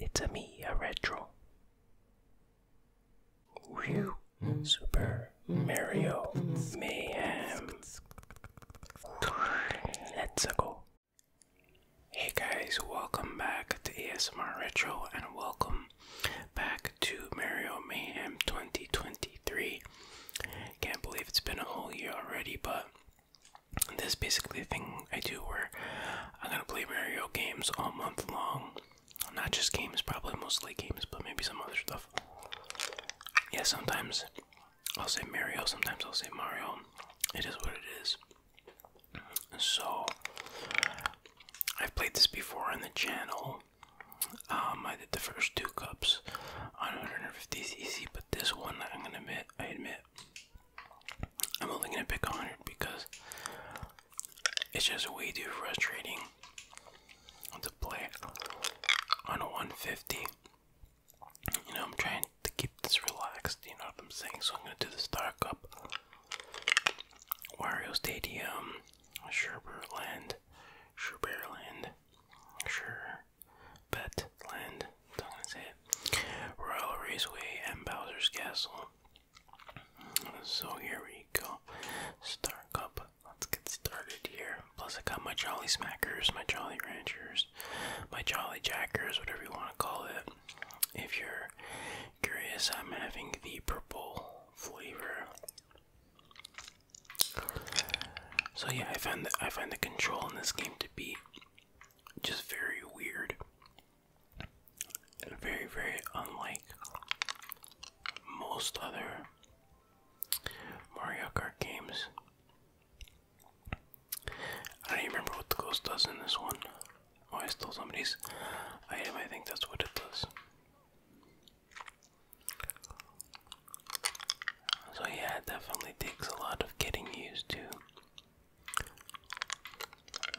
It's a me, a retro. Super Mario Mayhem. Let's go. Hey guys, welcome back to ASMR Retro and welcome back to Mario Mayhem 2023. Can't believe it's been a whole year already, but this basically a thing I do where I'm gonna play Mario games all month long. Not just games, probably mostly games, but maybe some other stuff. Yeah, sometimes I'll say Mario, sometimes I'll say Mario. It is what it is. So, I've played this before on the channel. Um, I did the first two cups on 150cc, but this one, I'm gonna admit, I admit, I'm only gonna pick 100 because it's just way too frustrating to play on a 150. You know, I'm trying to keep this relaxed, you know what I'm saying? So I'm gonna do the Star Cup, Wario Stadium, Sherberland, Sherberland, Sure, Land. That's I it. Royal Raceway and Bowser's Castle. So here we go. Star Cup. Let's get started here. Plus, I got my Jolly Smackers, my Jolly Ranchers, my Jolly Jackers, whatever you want to call it. If you're curious, I'm having the purple flavor. So yeah, I find the I find the control in this game to be just very weird very, very unlike most other Mario Kart games. I don't even remember what the ghost does in this one. Oh, I stole somebody's item. I think that's what it does. So, yeah, it definitely takes a lot of getting used to.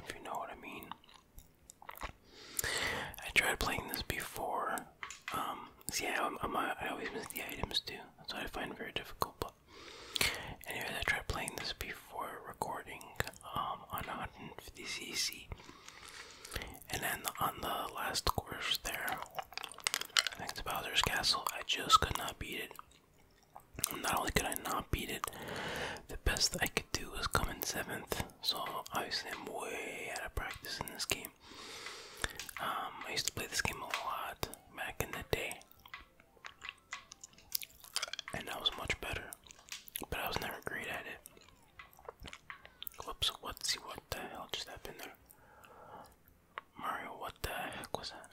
If you know what I mean. I tried playing this before. Um, I, always miss the items too. That's what I find very difficult. But, anyways, I tried playing this before recording um, on 150cc. And then on the last course there, next to Bowser's Castle, I just could not beat it. Not only could I not beat it, the best I could do was come in seventh. So obviously I'm way out of practice in this game. Um, I used to play this game a lot back in the day, and I was much better, but I was never great at it. Whoops! What? See what the hell just happened there? Mario, what the heck was that?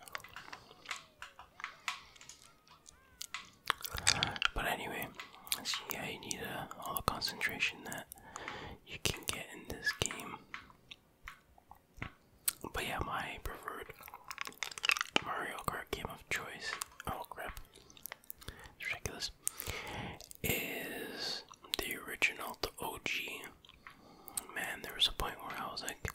But anyway, yeah, you need uh, all the concentration that you can get in this game. But yeah, my preferred Mario Kart game of choice. Oh crap. It's ridiculous. Is the original, the OG. Man, there was a point where I was like,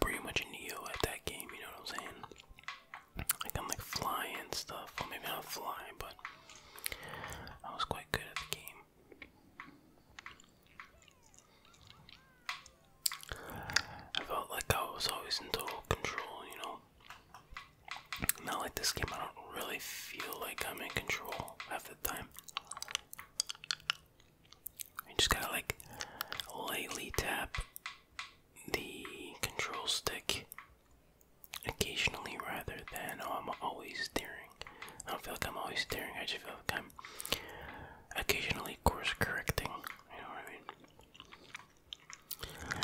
pretty much Neo at that game, you know what I'm saying? Like I'm like flying stuff. Well maybe not fly, but I was quite good at the game. I felt like I was always in total control, you know. Not like this game, I don't really feel like I'm in control half the time. I just gotta like lightly tap the control stick occasionally rather than oh I'm always steering. I don't feel like I'm always steering, I just feel like I'm occasionally course correcting, you know what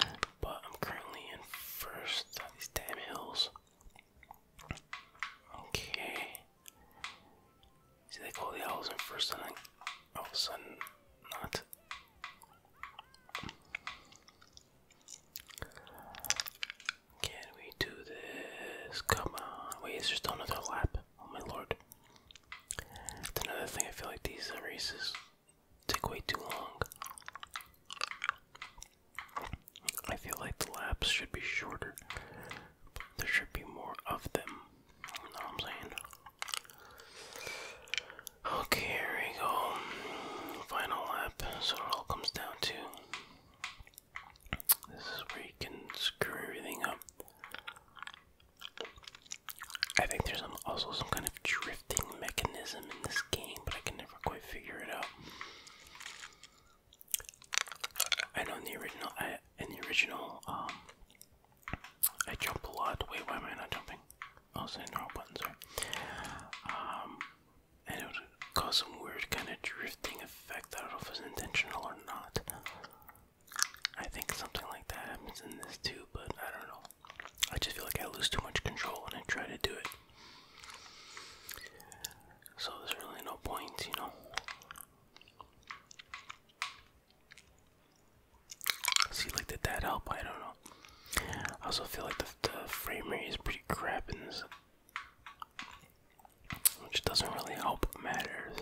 I mean? But I'm currently in first these damn hills. Okay. See, they call the hours in first, and then all of a sudden, not. Can we do this? Come on. Wait, is there still another lap? Oh my lord. That's another thing, I feel like these races take way too long. I feel like the laps should be shorter there should be more of them. You know what I'm saying? Okay, here we go. Final lap. So it all comes down to this is where you can screw everything up. I think there's also some kind of drifting mechanism in this game, but I can never quite figure it out. I in the original, I, in the original, um, I jump a lot. Wait, why am I not jumping? I was hitting the wrong button, sorry. Um, and it would cause some weird kind of drifting effect. I don't it was intentional or not. I think something like that happens in this too, but I don't know. I just feel like I lose too much control when I try to do it. So there's really no point, you know. See, like, did that help? I don't know. I also feel like the, the frame rate is pretty crap which doesn't really help matters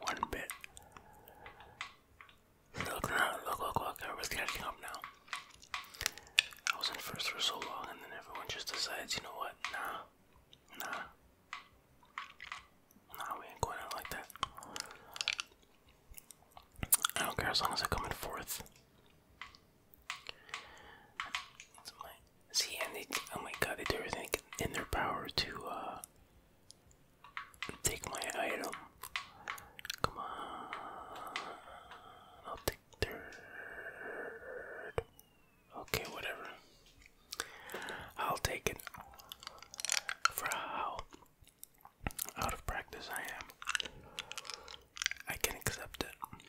one bit. Look, look, look, look, everybody's catching up now. I was in first for so long, and then everyone just decides, you know what, nah, nah. Nah, we ain't going out like that. I don't care as long as I come in fourth. see, and they, oh my god, they do everything in their power to uh, take my item. Come on, I'll take third. Okay, whatever. I'll take it for how out of practice I am. I can accept it.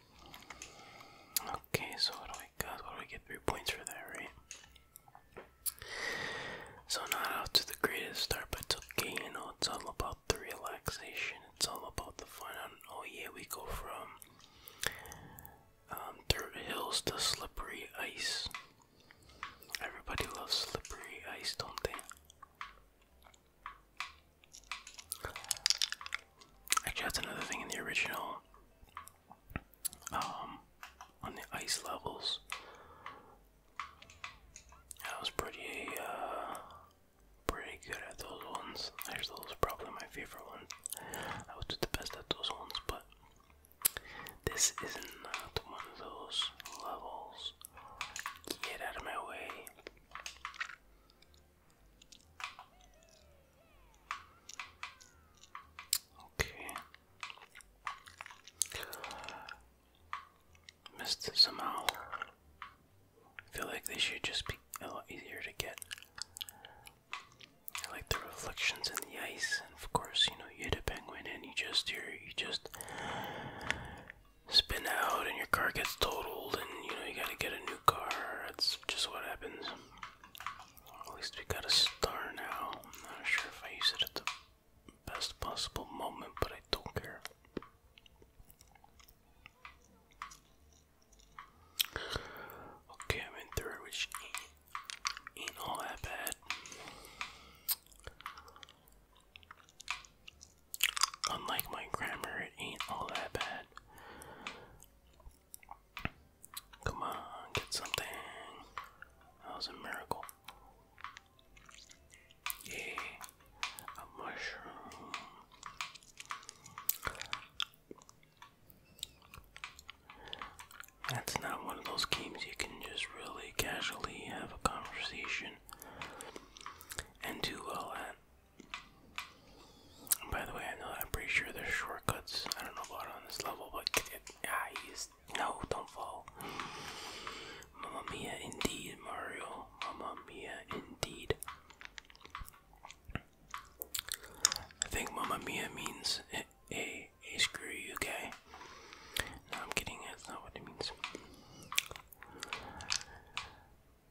Okay, so what do I got? What do we get? Three points for that, right? So not out to the greatest start, but okay, you know, it's all about the relaxation, it's all about the fun. Oh yeah, we go from um, hills to slippery ice. Everybody loves slippery ice, don't they? Actually, that's another thing in the original. Um, on the ice levels, I was pretty, uh, pretty good at those ones. Actually, those are probably my favorite ones. I was the best at those ones, but this is not one of those levels. Get out of my way. Okay. Missed it somehow. feel like they should just be a lot easier to get. I like the reflections in the ice, and of course, you know, you hit a penguin and you just you just spin out, and your car gets totaled, and you know you gotta get a new car. That's just what happens. At least we got a star now. I'm not sure if I use it at the best possible moment, but I don't care. Okay, I'm in third, which ain't all that bad. Unlike my grammar, it ain't all that bad. Come on, get something. That was a miracle. Yay, a mushroom. That's not one of those games you can just really casually have a conversation and do all that. by the way, I know I'm pretty sure there's shortcuts. I don't know about on this level, but I ah, no, don't fall. Mama mia, indeed, Mario. Mama mia, indeed. I think Mama mia means a a screw you guy. I'm kidding. That's not what it means.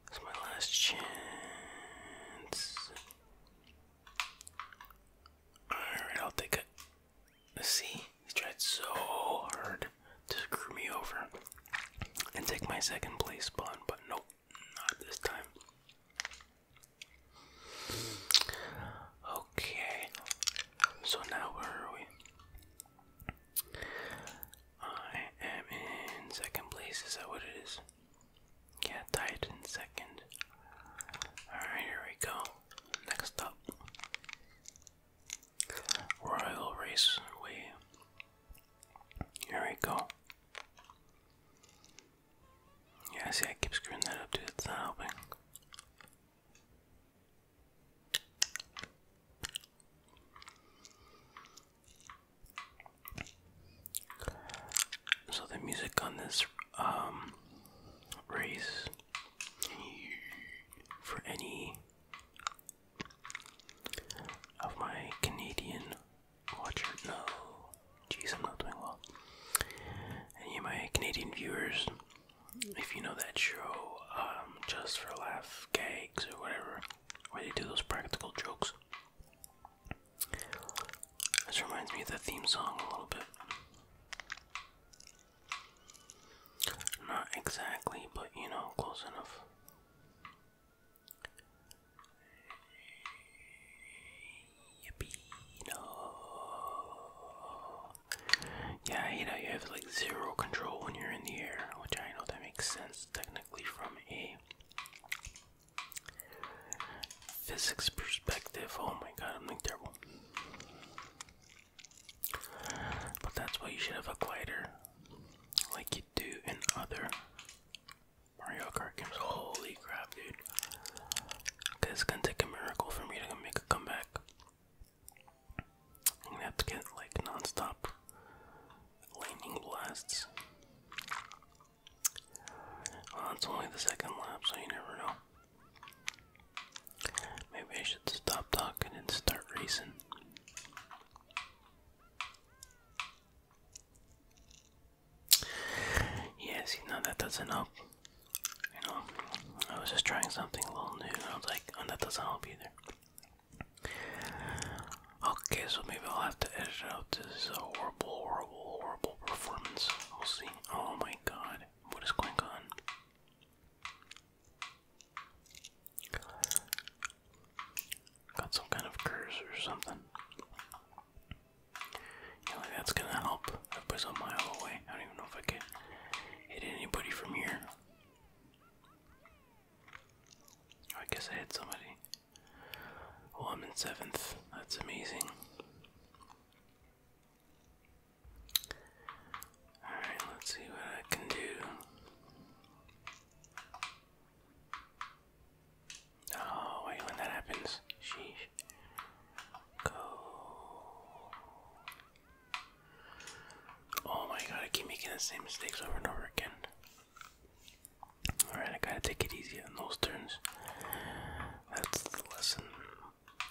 It's my last chance. Alright, I'll take a. See? He tried so hard to screw me over and take my second place spawn, but nope, not this time. Okay, so now where are we? I am in second place, is that what it is? Yeah, tied in second. Alright, here we go. Next up Royal Raceway. Here we go. Yeah, see, I keep screwing that up, too. It's not helping. So the music on this um, race for any of my Canadian watcher, no, Jeez, I'm not doing well. And you, my Canadian viewers, if you know that show, um, just for laugh gags or whatever, where they do those practical jokes. This reminds me of the theme song a little bit. Not exactly, but you know, close enough. Yeah, you know you have like zero control when you're in the air, which I know that makes sense technically from a physics perspective. Oh my god, I'm like terrible. But that's why you should have a glider, like you do in other Mario Kart games. Holy crap, dude. it's gonna take a miracle for me to make a comeback. I'm gonna have to get like non lightning blasts. Well, it's only the second lap, so you never know. Maybe I should stop talking and start racing. Yes, you know, that doesn't help. You know, I was just trying something a little new, and I was like, oh, that doesn't help either. Okay, so maybe I'll have to edit out this horrible, horrible, horrible performance. We'll see. Oh my god, what is going on? Got some kind of curse or something that's gonna help. I put some mile away. I don't even know if I can hit anybody from here. I guess I hit somebody. Oh, I'm in seventh. That's amazing. Alright, let's see what I can do. Oh, wait, when that happens, sheesh. Go. Oh my god, I keep making the same mistakes over and over again. Alright, I gotta take it easy on those turns. That's the lesson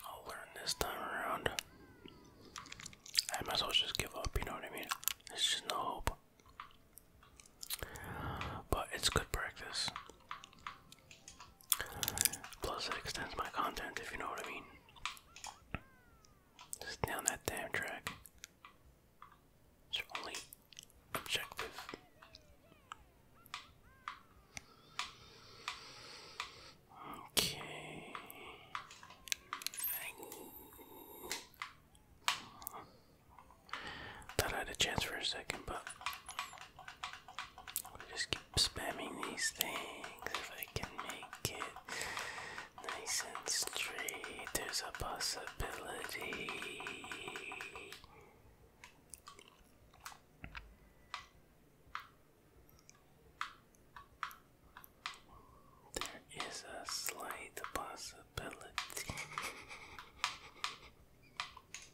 I'll learn this time around. I might as well just give up, you know what I mean? There's just no hope. But it's good practice. Plus, it extends my content, if you know what I mean. down that damn track. It's only objective. Okay. I had a chance for a second, but i just keep spamming these things if I can make it nice and straight. There's a possibility. There is a slight possibility.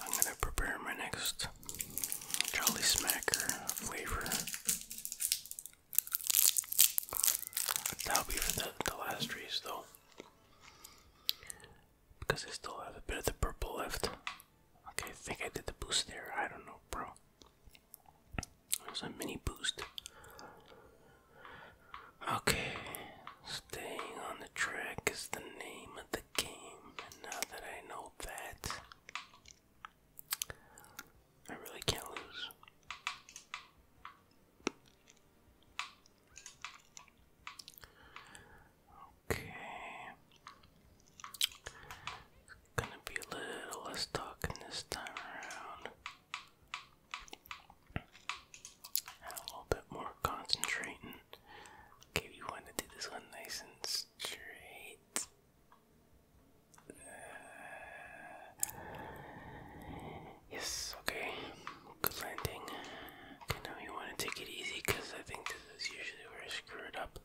I'm gonna prepare my next Jolly Smacker flavor. That'll be for the, the last race though. Because I still have a bit of the purple left. Okay, I think I did the boost there. I don't know, bro. It was a mini boost. Okay, staying on the track is the name of the game. now that I know that I really can't lose. Okay. gonna be a little less talking this time around. a little bit more concentrating. Okay, we want to do this one nice and uh, yes, okay. Good landing. Okay, now you want to take it easy because I think this is usually where I screw it up.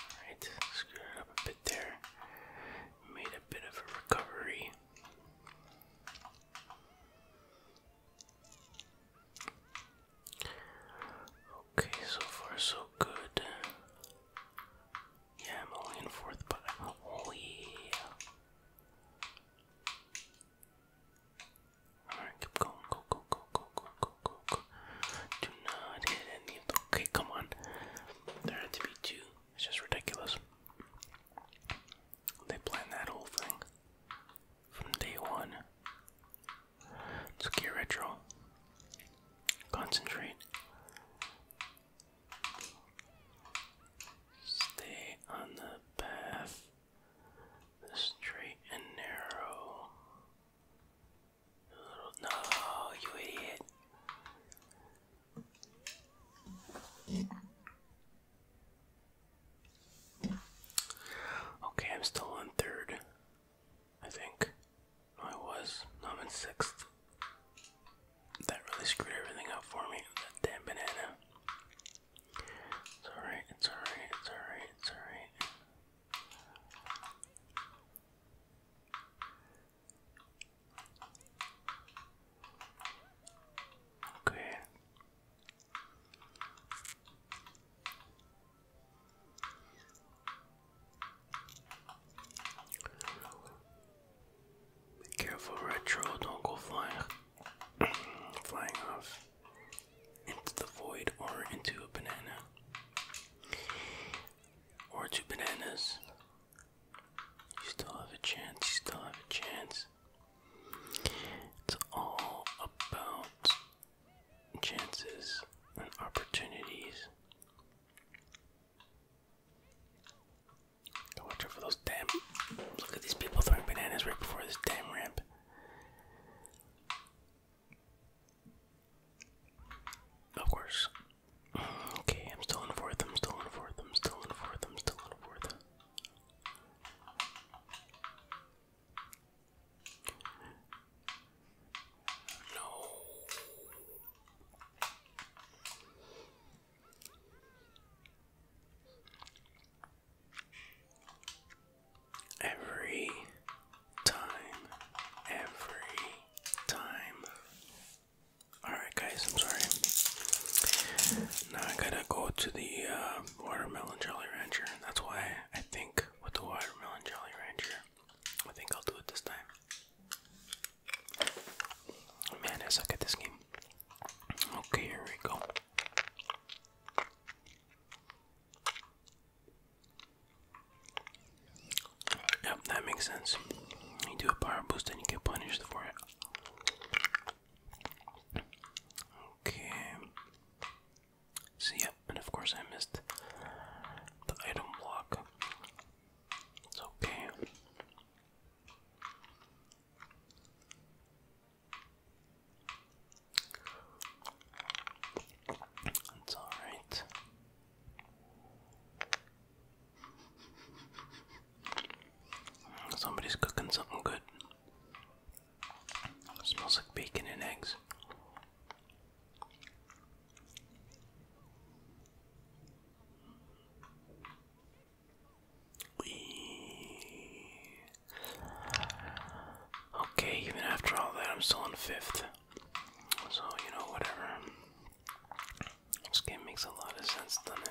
Alright, screw it up a bit there. Made a bit of a recovery. Okay, so far so good. Yeah, I'm only in fourth, but oh yeah. Alright, keep going. Go, go, go, go, go, go, go, go. Do not hit any Okay, come on. There had to be two. It's just ridiculous. They planned that whole thing from day one. let get retro. Concentrate. Stay on the path. The straight and narrow. no, you idiot. Okay, I'm still on third, I think. I was. I'm in sixth. That really screwed everything up for me. That damn banana. It's alright, it's alright, it's alright, it's alright. Okay. Be careful, retro, don't go flying flying off into the void or into a banana. Or two bananas. You still have a chance, you still have a chance. It's all about chances and opportunities. watch out for those damn. Look at these people throwing bananas right before this damn ramp. Of course. Okay, I'm still in fourth, I'm still in fourth, I'm still in fourth, I'm still in fourth. No. Every time, every time. Alright, guys, I'm sorry. Now I gotta go to the uh, watermelon Jolly Rancher. That's why I think with the watermelon Jolly Rancher, I think I'll do it this time. Man, I suck at this game. Okay, here we go. Yep, that makes sense. You do a power boost and you get punished for it. Okay. So, yep, and of course I missed the item block. It's okay. It's all right. Somebody's cooking something good smells like bacon and eggs. Okay, even after all that, I'm still in fifth. So, you know, whatever. This game makes a lot of sense, doesn't it?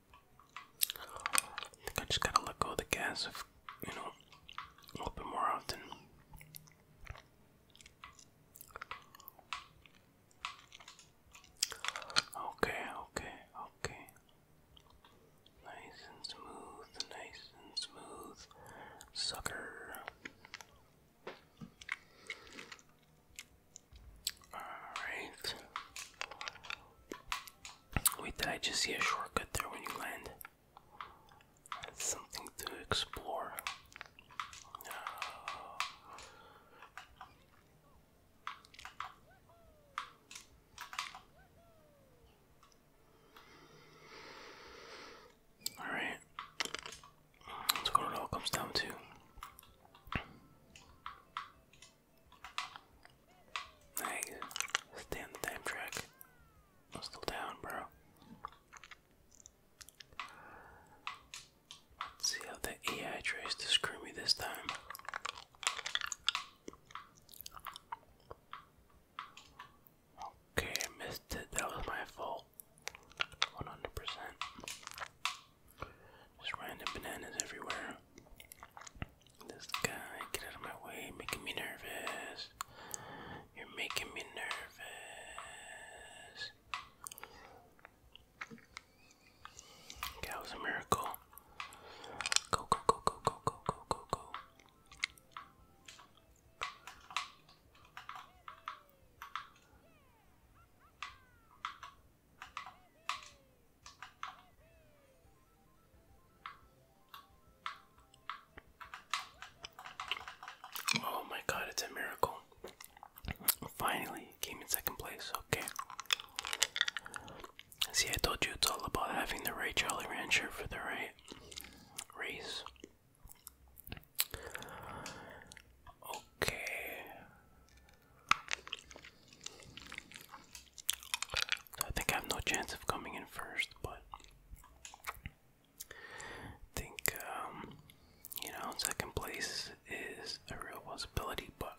I think I just gotta let go of the gas of, you know a little bit more often. Okay, okay, okay. Nice and smooth, nice and smooth, sucker. All right. Wait, did I just see a shortcut there when you land? something to explore. Alright. let what it all comes down to. Dang, stay the time track. i down, bro. see how the AI tries to screw me this time. Okay, missed it. That was my fault. 100%. Just random bananas everywhere. This guy, get out of my way, making me nervous. You're making me nervous. That was a miracle. Go, go, go, go, go, go, go, go, go. Oh my god, it's a miracle. Finally, came in second place. Okay. See, I told you it's all about having the right Jolly Rancher for the right race. Okay. I think I have no chance of coming in first, but I think um, you know second place is a real possibility. But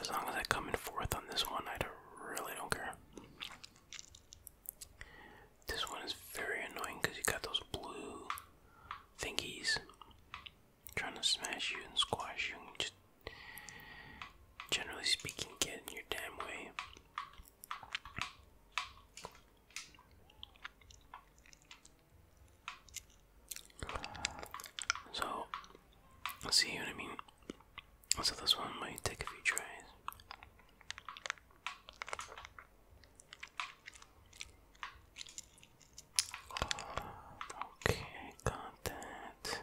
as long as I come in fourth on this one, I don't, really don't care. This one is very annoying because you got those blue thingies trying to smash you and squash you and just generally speaking get in your damn way. So see what I mean. So this one might take a few tries. Okay, got that.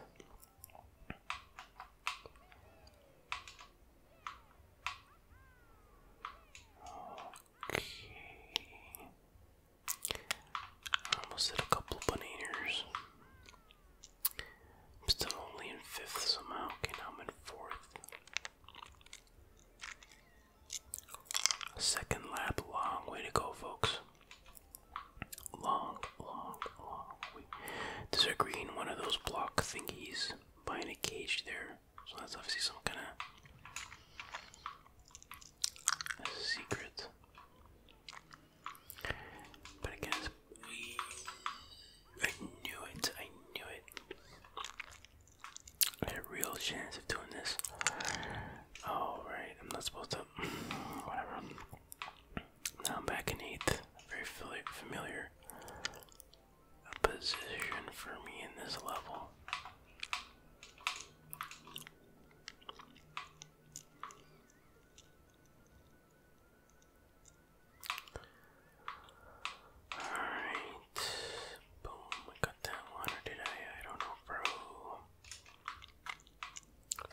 Okay. I almost hit a couple of bananas. I'm still only in fifth somehow. Okay, I'm in fourth. Second lap, long way to go, folks. Long, long, long There's a green one of those block thingies behind a cage there. So that's obviously some kind of secret. But again, I knew it. I knew it. I had a real chance of doing this. Alright, I'm not supposed to. Whatever. Now I'm back in 8th. Very familiar position for me in this level. Alright. Boom, I got that one, or did I? I don't know, bro.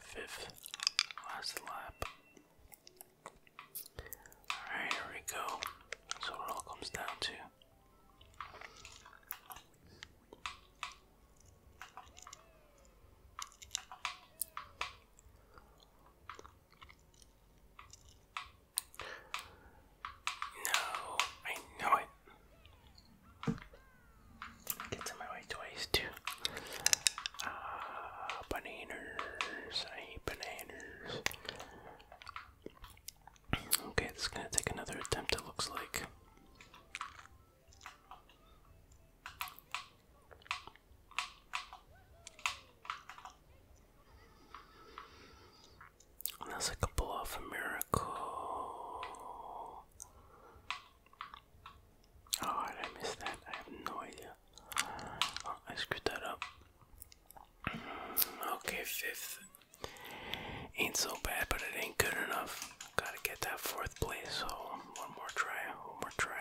Fifth, last lap. Alright, here we go. So it all comes down to. No, I know it. Get some my white toys too. Ah, bananas. I hate bananas. Okay, this is gonna take another attempt, it looks like. Unless I could pull a miracle. Oh, I missed that? I have no idea. I screwed that up. Mm, okay, fifth. Ain't so bad, but it ain't good enough. Gotta get that fourth place, so one more try, one more try.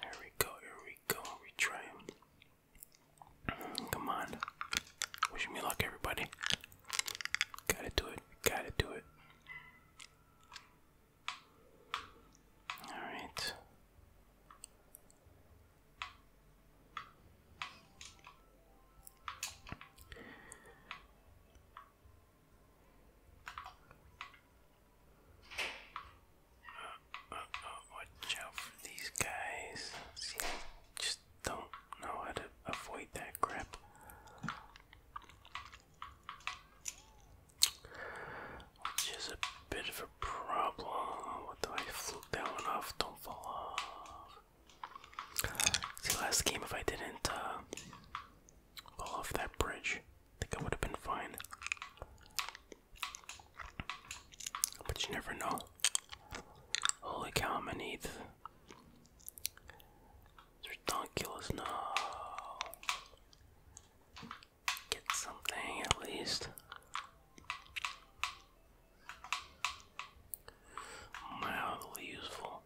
Here we go, here we go, we try. Mm, come on. Wishing me luck, everybody. Gotta do it. Gotta do it. Alright. Uh, uh, uh watch out for these guys. See, just don't know how to avoid that crap. Which is a bit of a problem. What do I fluke that one off? Don't fall off. See, last game, if I didn't fall uh, off that bridge, think I would have been fine. But you never know. Holy cow, I'm going need it's ridiculous. No. Get something at least. Mildly useful.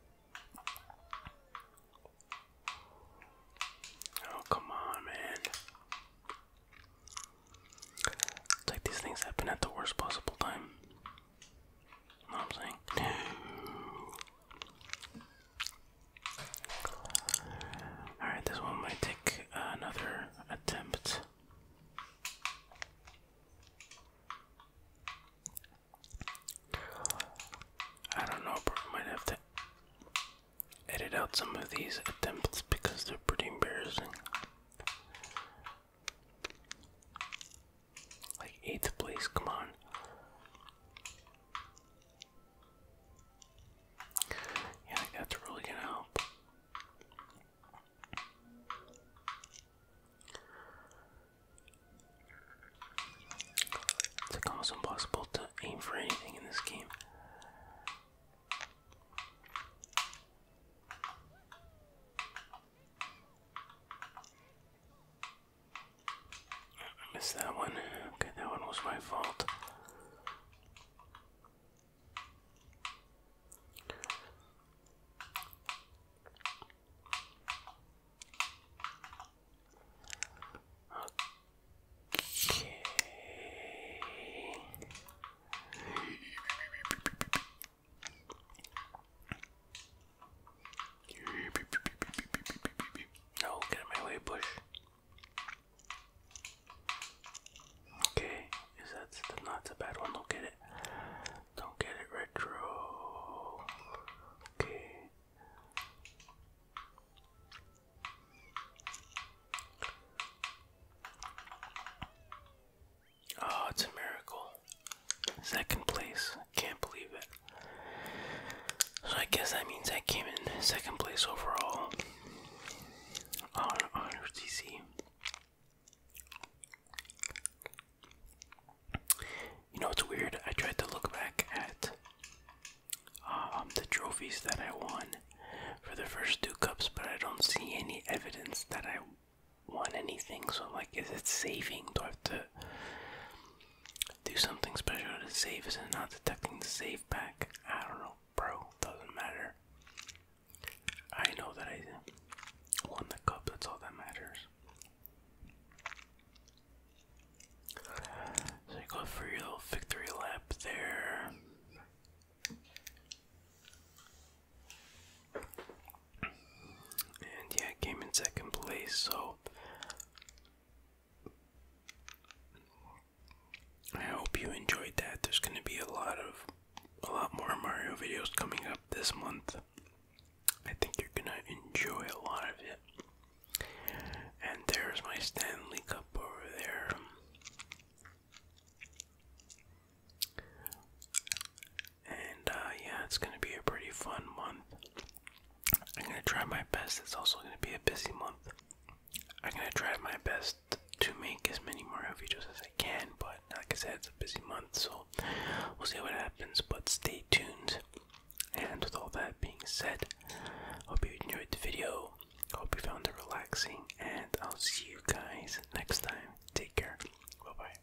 Oh, come on, man. It's like these things happen at the worst possible time. I'm saying Alright, this one might take another attempt. I don't know, but I might have to edit out some of these attempts because they're pretty embarrassing. Like eighth place, come on. Yeah, that's really gonna help. It's almost impossible to aim for anything in this game. I missed that one. Okay, that one was my fault. Okay. No, get in my way, Bush. Okay, is that still not a bad one? Don't get it. Don't get it retro. Okay. Oh, it's a miracle. Second place. Can't believe it. So I guess that means I came in second place overall on Honor TC. You know it's weird. I tried to look back at um, the trophies that I won for the first two cups, but I don't see any evidence that I won anything, so like, is it saving? Do I have to do something special to save? Is it not detecting the save back? I don't know, bro. Doesn't matter. I know that I won the cup, that's all that matters. So go for your little victory lap there. And yeah, came in second place, so I hope you enjoyed that. There's gonna be a lot of a lot more Mario videos coming up this month. I think you're gonna enjoy a lot of it. And there's my Stanley Cup over there. And uh, yeah, it's gonna be a pretty fun month. I'm gonna try my best. It's also gonna be a busy month. I'm gonna try my best to make as many Mario videos as I can, but like I said, it's a busy month, so we'll see what happens. But stay tuned. And with all that being said, hope you enjoyed the video. Hope you found it relaxing, and I'll see you guys next time. Take care. Bye bye.